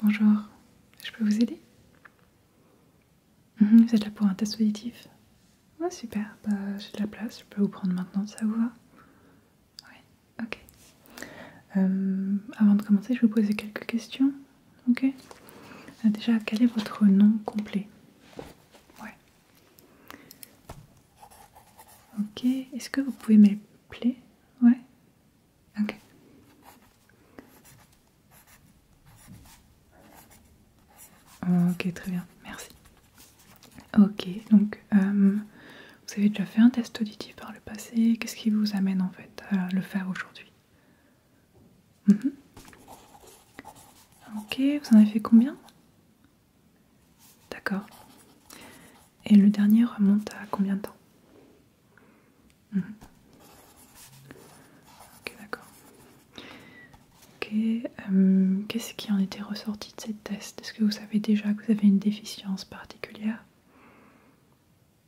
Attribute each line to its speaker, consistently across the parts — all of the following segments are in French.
Speaker 1: Bonjour, je peux vous aider mhm, Vous êtes là pour un test auditif ah, super, bah, j'ai de la place, je peux vous prendre maintenant, ça vous va Oui, ok. Euh, avant de commencer, je vais vous poser quelques questions, ok ah, Déjà, quel est votre nom complet Ouais. Ok, est-ce que vous pouvez m'appeler Ouais. Ok. Ah, ok, très bien, merci. Ok, donc euh, vous avez déjà fait un test auditif par le passé. Qu'est-ce qui vous amène en fait à le faire aujourd'hui Mhm. Ok, vous en avez fait combien D'accord. Et le dernier remonte à combien de temps mhm. Ok, d'accord. Ok, euh, qu'est-ce qui en était ressorti de cette test Est-ce que vous savez déjà que vous avez une déficience particulière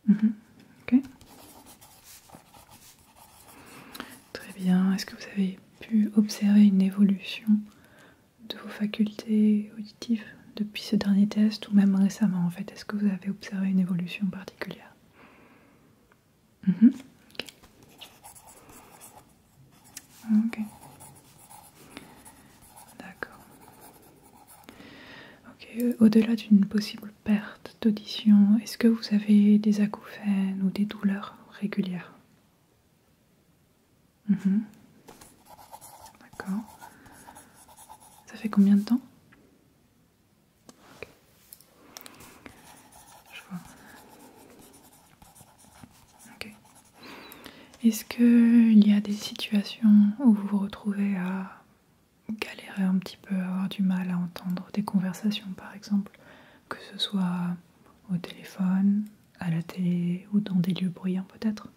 Speaker 1: mhm. Ok. Très bien. Est-ce que vous avez pu observer une évolution de vos facultés auditives depuis ce dernier test ou même récemment en fait Est-ce que vous avez observé une évolution particulière mm-hmm. ok. D'accord. Ok. Au-delà d'une possible perte d'audition, est-ce que vous avez des acouphènes ou des douleurs régulières mhm. D'accord. Ça fait combien de temps Je vois. Ok. Est-ce qu'il y a des situations où vous vous retrouvez à galérer un petit peu, avoir du mal à entendre des conversations par exemple que ce soit au téléphone, à la télé ou dans des lieux bruyants peut-être.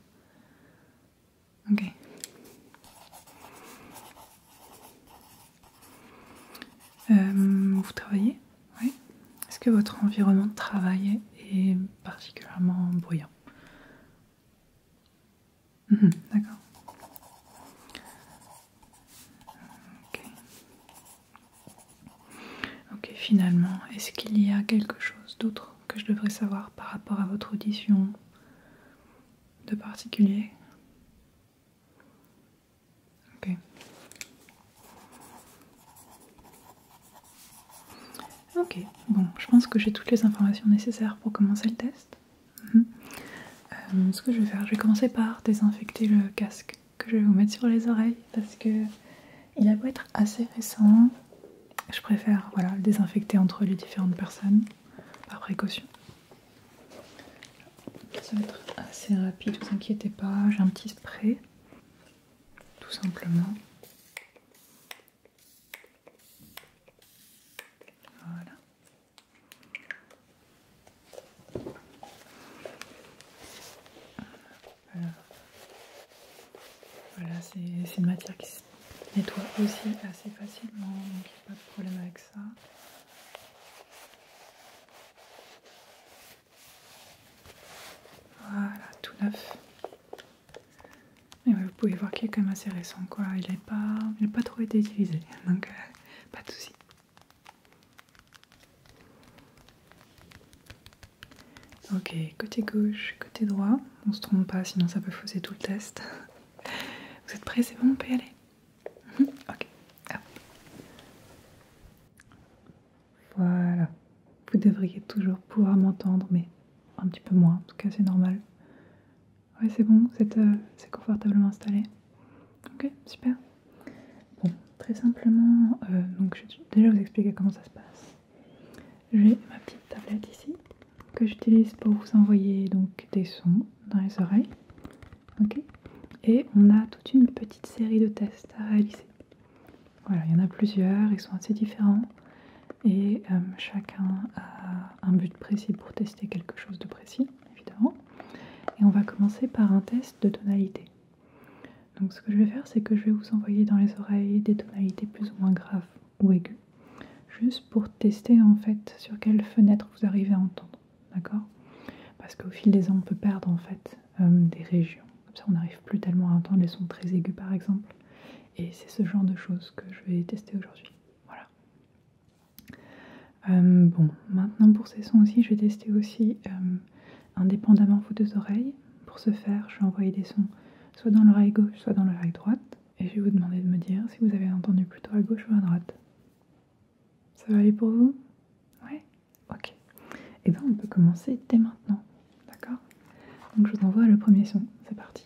Speaker 1: Ok. Euh, vous travaillez Oui. Est-ce que votre environnement de travail est particulièrement bruyant mhm, D'accord. Ok. finalement, est-ce qu'il y a quelque chose d'autre que je devrais savoir par rapport à votre audition de particulier Ok. Ok, bon, je pense que j'ai toutes les informations nécessaires pour commencer le test. Mhm. Euh, ce que je vais faire, je vais commencer par désinfecter le casque que je vais vous mettre sur les oreilles parce que il a beau être assez récent, je préfère voilà, le désinfecter entre les différentes personnes par précaution. Ça va être assez rapide, vous inquiétez pas, j'ai un petit spray tout simplement. Voilà. Voilà, c'est une matière qui se nettoie aussi assez facilement, donc il n'y a pas de problème avec ça. Voilà, tout neuf. Et vous pouvez voir qu'il est quand même assez récent, quoi. Il n'est pas, pas trop été utilisé, donc euh, pas de soucis. Ok, côté gauche, côté droit. On se trompe pas, sinon ça peut fausser tout le test. Vous êtes prêts C'est bon, on peut y aller mhm, Ok, hop. Voilà. Vous devriez toujours pouvoir m'entendre, mais un petit peu moins. En tout cas, c'est normal. Ouais, c'est bon, euh, c'est confortablement installé. Ok, super. Bon, très simplement, euh, donc je vais déjà vous expliquer comment ça se passe. J'ai ma petite tablette ici que j'utilise pour vous envoyer donc des sons dans les oreilles. Ok. Et on a toute une petite série de tests à réaliser. Voilà, il y en a plusieurs, ils sont assez différents et euh, chacun a un but précis pour tester quelque chose de précis évidemment. Et on va commencer par un test de tonalité. Donc ce que je vais faire, c'est que je vais vous envoyer dans les oreilles des tonalités plus ou moins graves ou aiguës, juste pour tester en fait sur quelle fenêtre vous arrivez à entendre, d'accord Parce qu'au fil des ans, on peut perdre en fait euh, des régions. Comme ça, on n'arrive plus tellement à entendre les sons très aigus par exemple. Et c'est ce genre de choses que je vais tester aujourd'hui. Voilà. Euh, bon, maintenant pour ces sons aussi, je vais tester aussi euh, indépendamment vos deux oreilles. Pour ce faire, je vais envoyer des sons soit dans l'oreille gauche, soit dans l'oreille droite. Et je vais vous demander de me dire si vous avez entendu plutôt à gauche ou à droite. Ça va aller pour vous Ouais Ok. Et eh bien on peut commencer dès maintenant. D'accord Donc je vous envoie le premier son. C'est parti.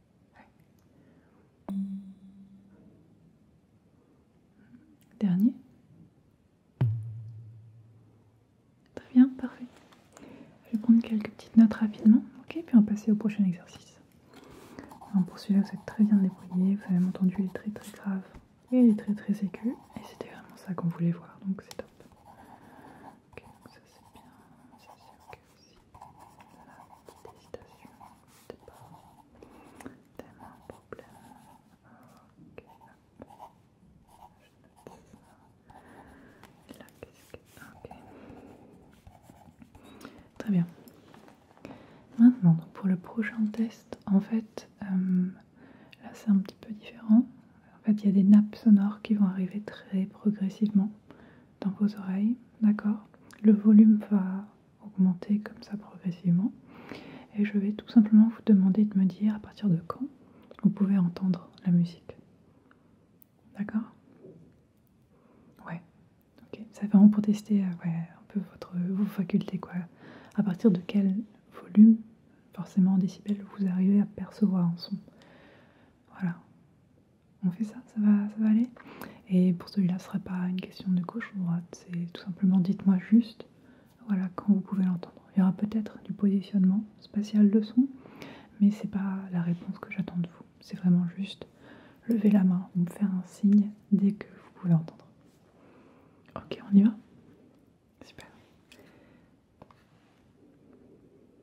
Speaker 1: Dernier. Très bien, parfait. Je vais prendre quelques petites notes rapidement, ok, puis on va passer au prochain exercice. pour celui-là, vous êtes très bien débrouillé, vous avez entendu les très très graves et les très très aigus, et c'était vraiment ça qu'on voulait voir, donc c'est top. ça c'est bien, c'est Très bien. Maintenant, pour le prochain test, en fait, euh, là c'est un petit peu différent. En fait, il y a des nappes sonores qui vont arriver très progressivement dans vos oreilles, d'accord Le volume va augmenter comme ça progressivement. Et je vais tout simplement vous demander de me dire à partir de quand vous pouvez entendre la musique. D'accord Ouais. Ok. C'est vraiment pour tester euh, un peu votre, vos facultés, quoi. À partir de quel volume, forcément en décibels, vous arrivez à percevoir un son. Voilà on fait ça, ça va, va aller. Et pour celui-là, ce ne sera pas une question de gauche ou droite, c'est tout simplement dites-moi juste, voilà, quand vous pouvez l'entendre. Il y aura peut-être du positionnement spatial de son, mais c'est pas la réponse que j'attends de vous. C'est vraiment juste lever la main ou me faire un signe dès que vous pouvez l'entendre. Ok, on y va Super.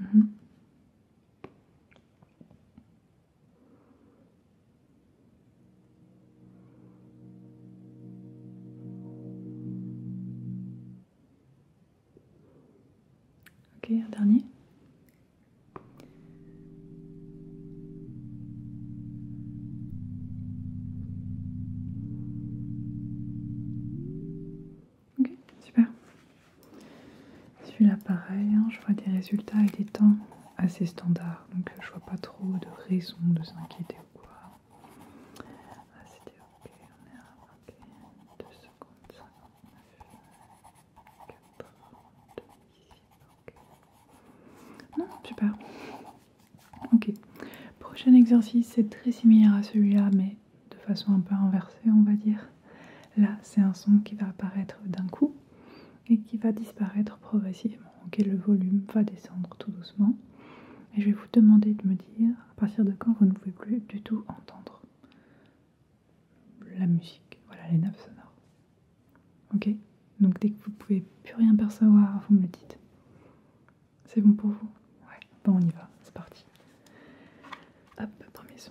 Speaker 1: Mhm. Ok, un dernier. Ok, super. Celui-là, pareil, hein, je vois des résultats et des temps assez standards, donc euh, je vois pas trop de raison de s'inquiéter ou quoi. Ah, c'était ok, on est secondes okay. Non, super. Ok. Prochain exercice, c'est très similaire à celui-là, mais de façon un peu inversée, on va dire. Là, c'est un son qui va apparaître d'un coup et qui va disparaître progressivement. Ok, le volume va descendre tout doucement. Et je vais vous demander de me dire à partir de quand vous ne pouvez plus du tout entendre la musique, voilà les neuf sonores. Ok Donc dès que vous ne pouvez plus rien percevoir, vous me le dites. C'est bon pour vous Ouais, bon on y va, c'est parti. Hop, premier son.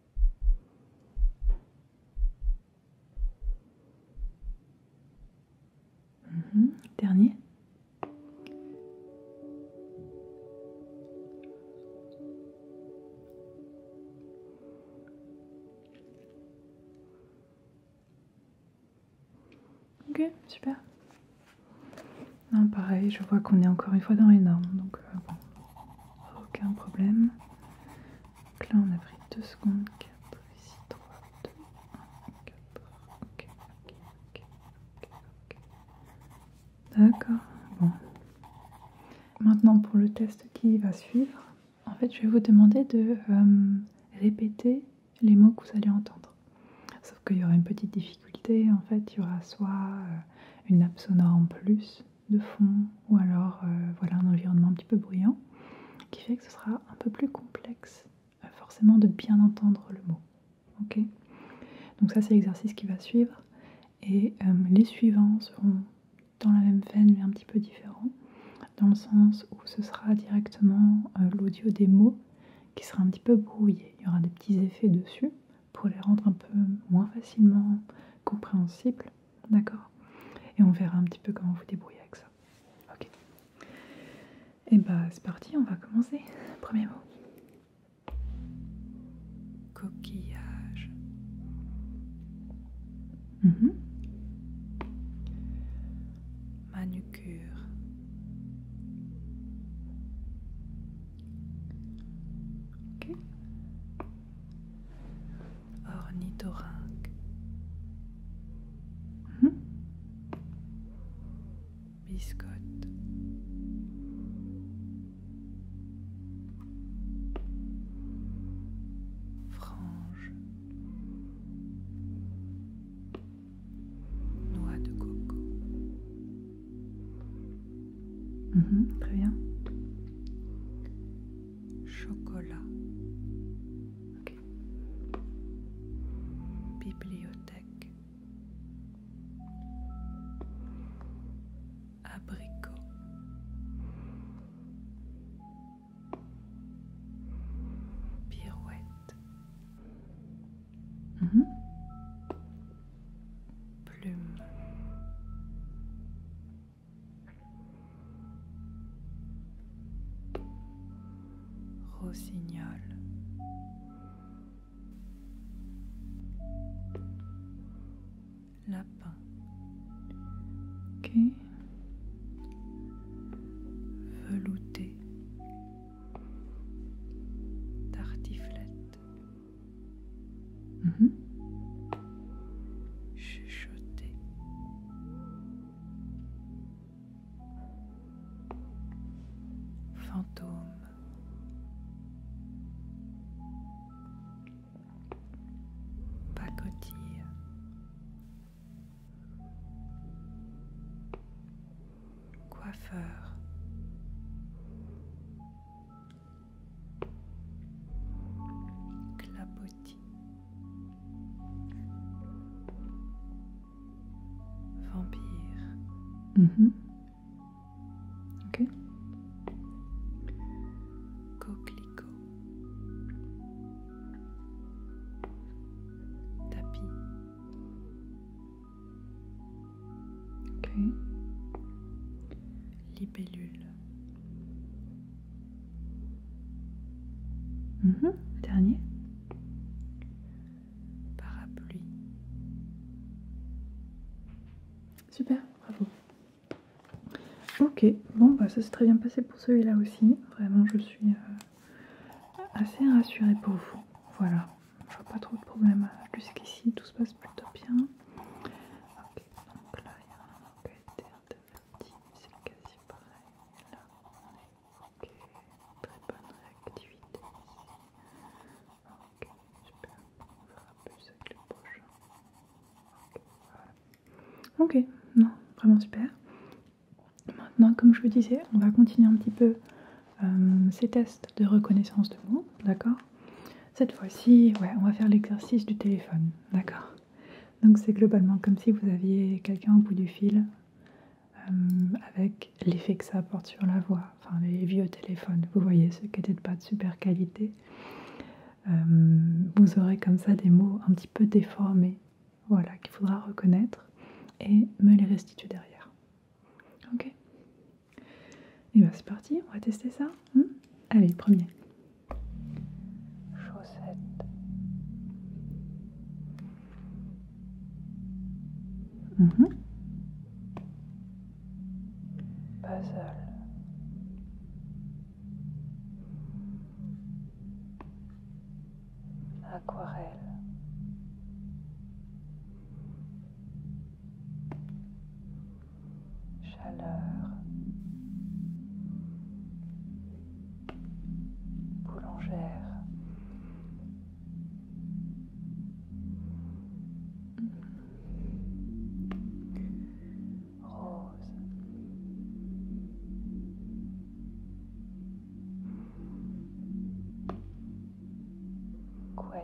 Speaker 1: Mhm. dernier. Ok, super. pareil, je vois qu'on est encore une fois dans les normes, donc euh, aucun problème. Donc là, on a pris 2 secondes, 4, ici 3, 2, 1, 4, ok, ok, ok, ok, ok. D'accord, bon. Maintenant, pour le test qui va suivre, en fait, je vais vous demander de répéter les mots que vous allez entendre. Sauf qu'il y aura une petite difficulté, en fait, il y aura soit une nappe sonore en plus, de fond ou alors euh, voilà un environnement un petit peu bruyant qui fait que ce sera un peu plus complexe euh, forcément de bien entendre le mot. Donc ça c'est l'exercice qui va suivre et euh, les suivants seront dans la même veine mais un petit peu différents dans le sens où ce sera directement l'audio des mots qui sera un petit peu brouillé. Il y aura des petits effets dessus pour les rendre un peu moins facilement compréhensibles, d'accord Et on verra un petit peu comment vous débrouillez avec ça. Ok. Et eh bah ben, c'est parti, on va commencer. Premier mot. Coquillage. Mm-hmm. Manucure. Ornithorynque. Mhm. Frange. Noix de coco. Mhm, Chocolat. Bibliothèque. Abricot. Pirouette. Mhm plume. Rossignol. Lapin. qui, Velouté. Tartiflette. Mhm. Chuchoter. Fantôme. Pacotille. Coiffeur clapotis, vampire. Mm-hmm. Ok. Coquelicot, tapis, Ok. Libellule. Mhm, dernier. Parapluie. Super, bravo. Ok, bon, bah, ça s'est très bien passé pour celui-là aussi. Vraiment, je suis euh, assez rassurée pour vous. Voilà je vois pas trop de problème euh, jusqu'ici, tout se passe plutôt bien. Ok, donc là il y a un enquête c'est quasi pareil. ok, très bonne réactivité ici. Ok, super, on verra plus avec les prochain. Ok, voilà. Ok, non, vraiment super. Maintenant, comme je vous disais, on va continuer un petit peu euh, ces tests de reconnaissance de mots, d'accord Cette fois-ci, ouais, on va faire l'exercice du téléphone, d'accord Donc c'est globalement comme si vous aviez quelqu'un au bout du fil, euh, avec l'effet que ça apporte sur la voix, enfin les vieux téléphones, vous voyez, ceux qui n'étaient pas de super qualité. Euh, vous aurez comme ça des mots un petit peu déformés, voilà, qu'il faudra reconnaître et me les restituer derrière. Ok Et eh bien c'est parti, on va tester ça. Hein Allez, premier. Chaussette. Mhm. Puzzle. Aquarelle chaleur, boulangère. Rose. Quoi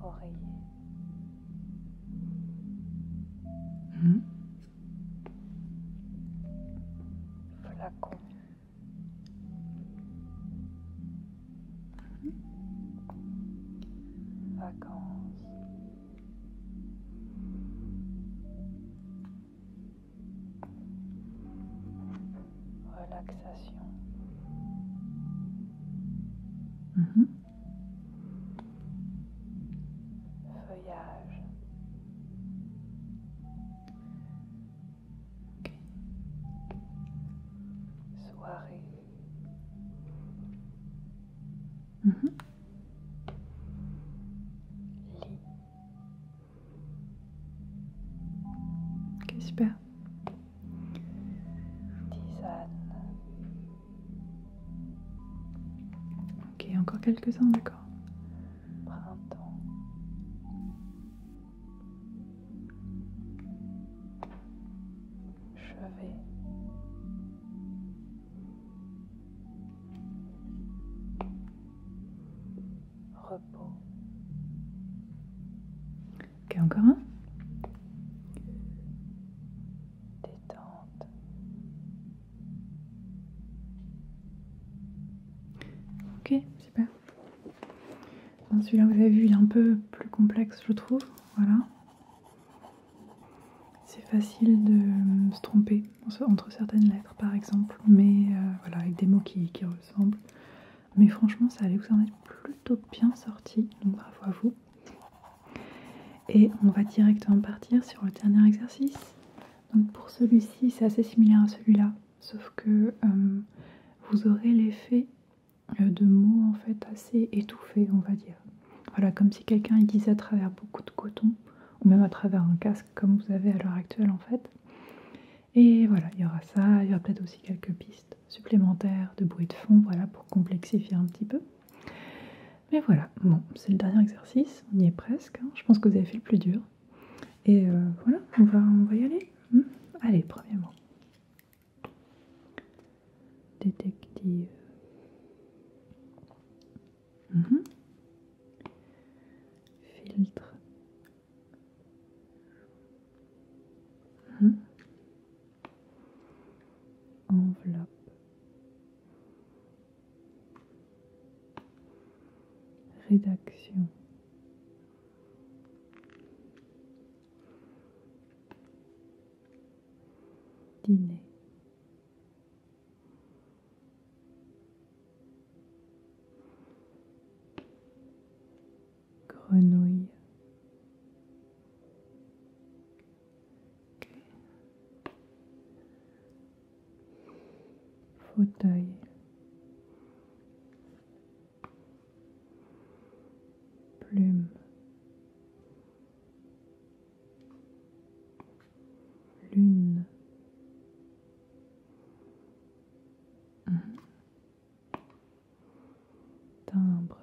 Speaker 1: oreiller. Hmm? Flacon. Vacances. Relaxation. Hmm? feuillage. Soirée. Mm -hmm. Lit tisane. Ok, encore quelques-uns, d'accord. Printemps. Chevet. Repos. Ok, encore un. Détente. Ok, super. Celui-là, vous avez vu, il est un peu plus complexe, je trouve. Voilà. C'est facile de euh, se tromper entre certaines lettres, par exemple, mais euh, voilà, avec des mots qui, qui ressemblent. Mais franchement, ça allait vous en être plutôt bien sorti, donc bravo à vous. Et on va directement partir sur le dernier exercice. Donc pour celui-ci, c'est assez similaire à celui-là, sauf que euh, vous aurez l'effet euh, de mots en fait assez étouffés, on va dire. Voilà, comme si quelqu'un disait à travers beaucoup de coton, ou même à travers un casque comme vous avez à l'heure actuelle en fait. Et voilà, il y aura ça, il y aura peut-être aussi quelques pistes supplémentaire de bruit de fond, voilà, pour complexifier un petit peu. Mais voilà, bon, c'est le dernier exercice, on y est presque, hein. je pense que vous avez fait le plus dur. Et euh, voilà, on va, on va y aller. Hein. Allez, premièrement. Détective. Mhm. Filtre. Mhm enveloppe, rédaction. Dîner grenouille. Fauteuil. Plume. Lune timbre.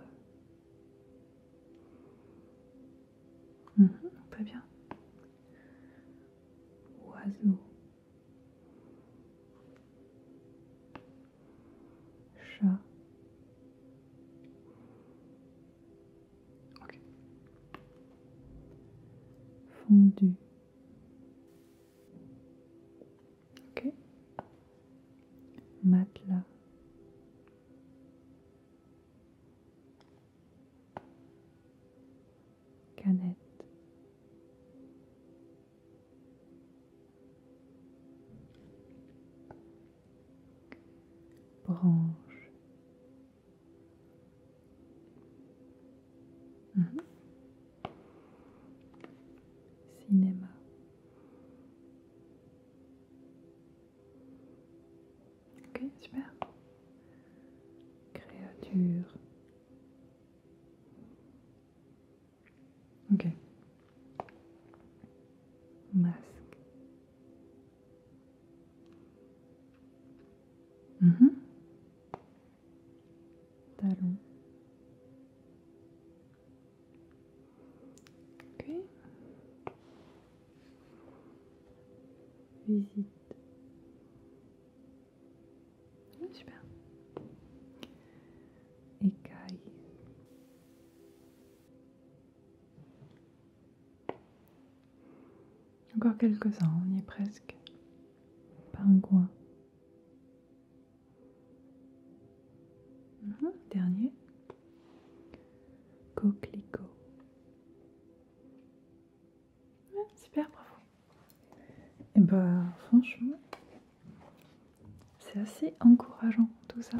Speaker 1: Mhm, très bien. Oiseau. Chat. Fondu. Ok. Matelas. Canette. Branche. Mhm. Cinéma. Ok, super. Créature. Ok. Masque. Mhm. Talon. Ok. Visite. Ah, super. Écaille. Encore quelques-uns, on y est presque. Pingouin. Mhm, dernier. Coquelicot. super, bravo. Et eh ben franchement, c'est assez encourageant tout ça.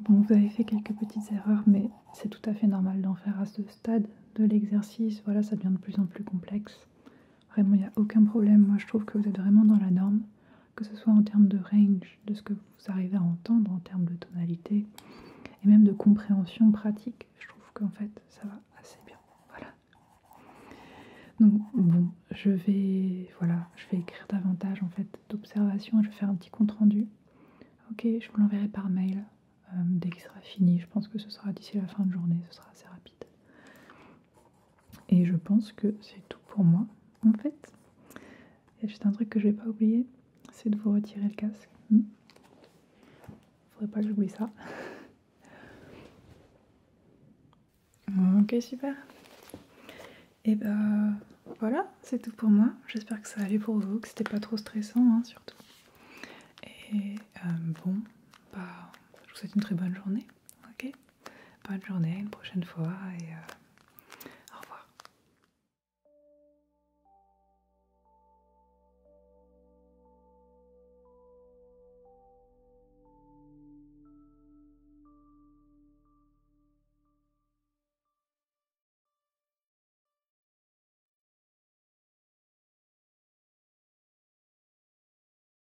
Speaker 1: Bon, vous avez fait quelques petites erreurs, mais c'est tout à fait normal d'en faire à ce stade de l'exercice. Voilà, ça devient de plus en plus complexe. Vraiment, il n'y a aucun problème. Moi, je trouve que vous êtes vraiment dans la norme, que ce soit en termes de range, de ce que vous arrivez à entendre, en termes de tonalité, et même de compréhension pratique. Je trouve qu'en fait, ça va assez bien. Voilà. Donc, bon, je vais, voilà, je vais écrire davantage en fait d'observations. Je vais faire un petit compte rendu. Ok, je vous l'enverrai par mail euh, dès qu'il sera fini. Je pense que ce sera d'ici la fin de journée. Ce sera assez rapide. Et je pense que c'est tout pour moi, en fait. Il y juste un truc que je vais pas oublier, c'est de vous retirer le casque. ne hmm. Faudrait pas que j'oublie ça. ok, super. Et eh ben voilà, c'est tout pour moi. J'espère que ça allait pour vous, que c'était pas trop stressant, hein, surtout. Et euh, bon, bah, je vous souhaite une très bonne journée. Ok Bonne journée, une prochaine fois et euh, au revoir.